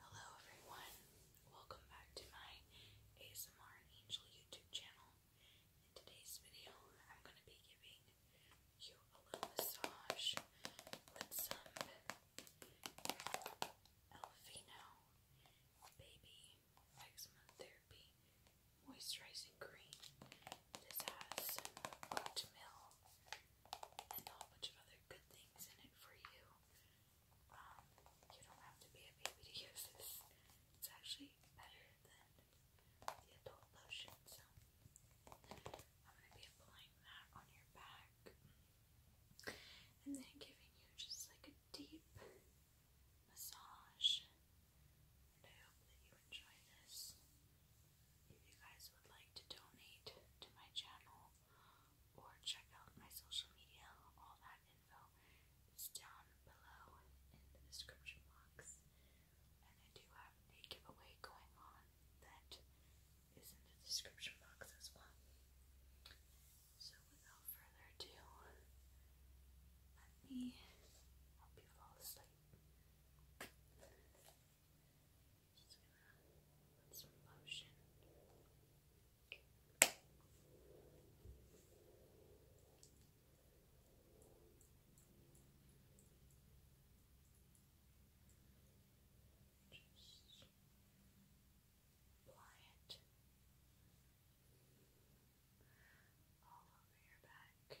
Hello everyone, welcome back to my ASMR Angel YouTube channel. In today's video, I'm going to be giving you a little massage with some Elfino Baby Eczema Therapy Moisturizing Cream. This has oat and a whole bunch of other good things in it for you. Um, you don't have to be a baby to use this. It's actually better than the adult lotion, so I'm gonna be applying that on your back. And then giving you just like a deep massage. And I hope that you enjoy this. If you guys would like to donate to my channel, or check out my social media. All that info is down below in the description box. And I do have a giveaway going on that is in the description box as well. So without further ado, let me help you fall asleep. Just put some lotion. Just apply it all over your back.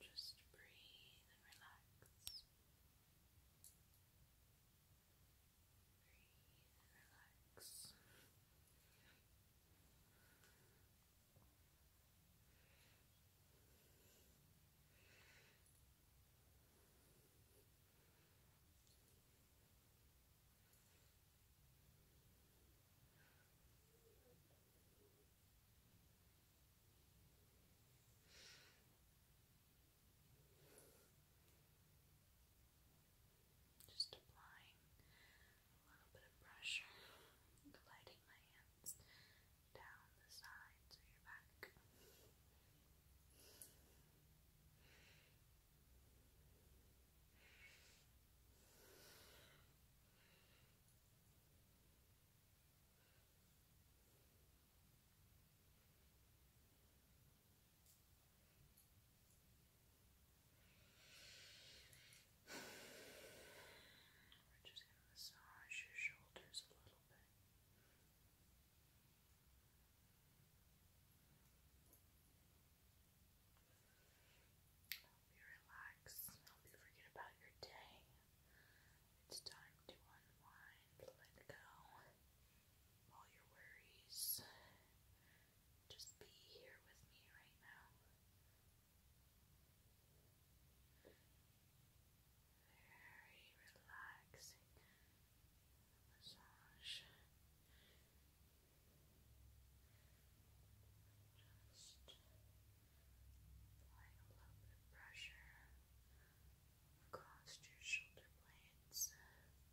Just breathe and relax. Breathe and relax. Just applying a little bit of pressure, gliding my hands down the sides of your back. We're just going to massage your shoulders a little bit help you help you forget about your day. It's time to unwind, let go all your worries. Just be here with me right now. Very relaxing massage. Just applying a little bit of pressure across your shoulder blades. Massaging your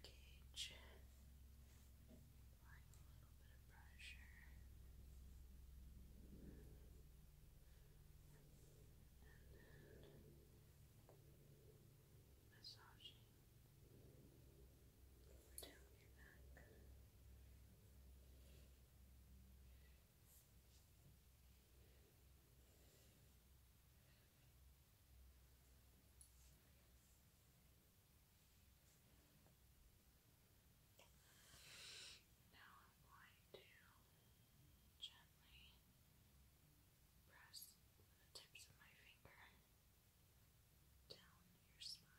rib cage applying a little bit of pressure and then massaging over down your back. Good. Now I'm going to gently press the tips of my finger down your spine.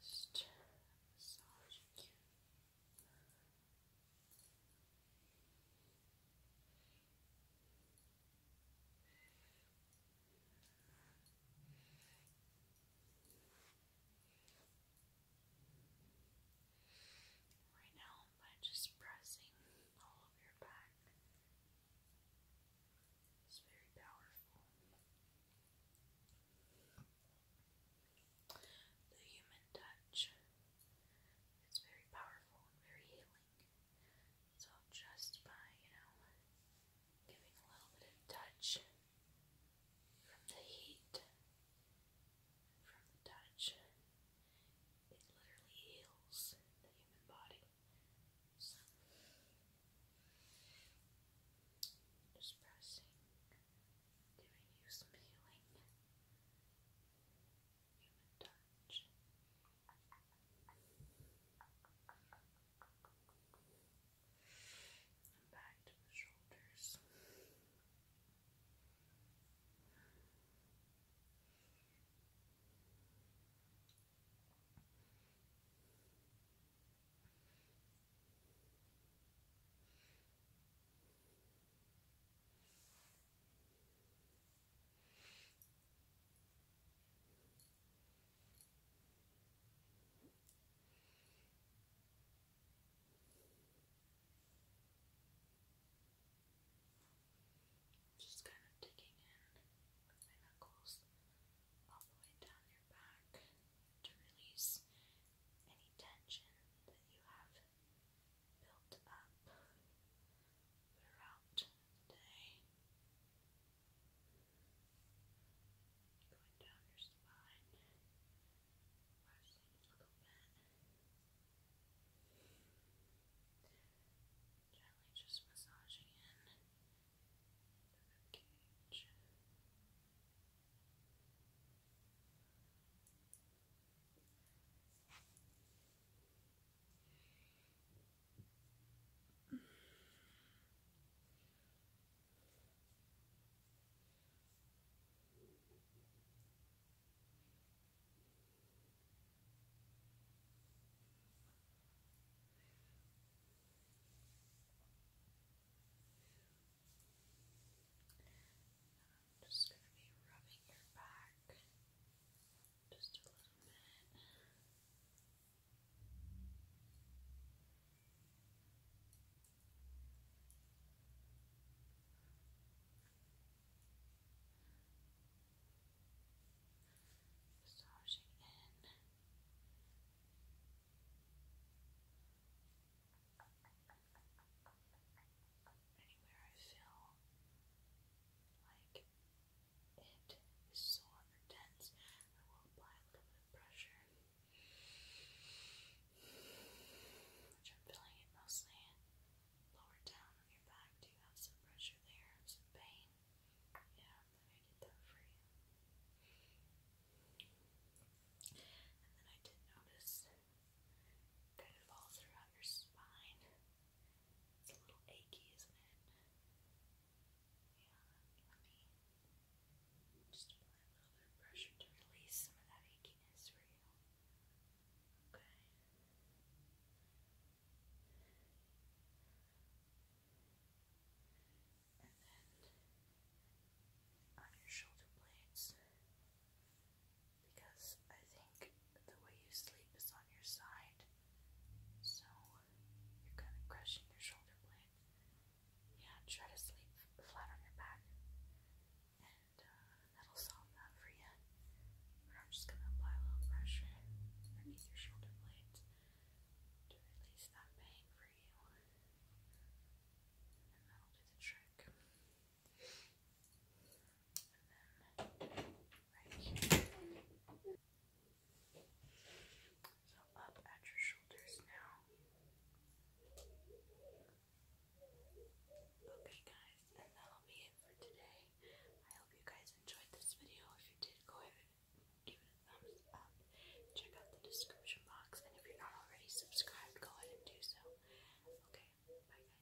Just massaging you. Just right now by just pressing all of your back. It's very powerful. The human touch is very powerful and very healing. So just by, you know, giving a little bit of touch from the heat, from the touch. It literally heals the human body. So, just pressing, giving you some healing, human touch. And back to the shoulders. Just kind of digging in with my knuckles all the way down your back to release any tension that you have built up throughout the day. Going down your spine, pressing a little bit. Gently just massaging in the rib cage. I'm just going to be rubbing your back just a little bit. Massaging in. Anywhere I feel like it is sore or I will apply a little bit of pressure. Which I'm feeling it mostly lower down on your back. Do you have some pressure there? Some pain? Yeah, then I did that for And then I did notice kind of all throughout your spine. It's a little achy, isn't it? let me just apply a little bit of pressure to release some of that achiness for you. Okay. And then on your shoulder blades, because I think the way you sleep is on your side, so you're kind of crushing your shoulder blade. Yeah, try to sleep flat on your back. And uh, that'll solve that for you. But I'm just going to apply a little pressure underneath your shoulder blades to release that pain for you. And that'll do the trick. And then right here, so up at your shoulders now. Okay guys, and that'll be it for today. I hope you guys enjoyed this video. If you did, go ahead and give it a thumbs up. Check out the description box, and if you're not already subscribed, go ahead and do so. Okay, bye guys.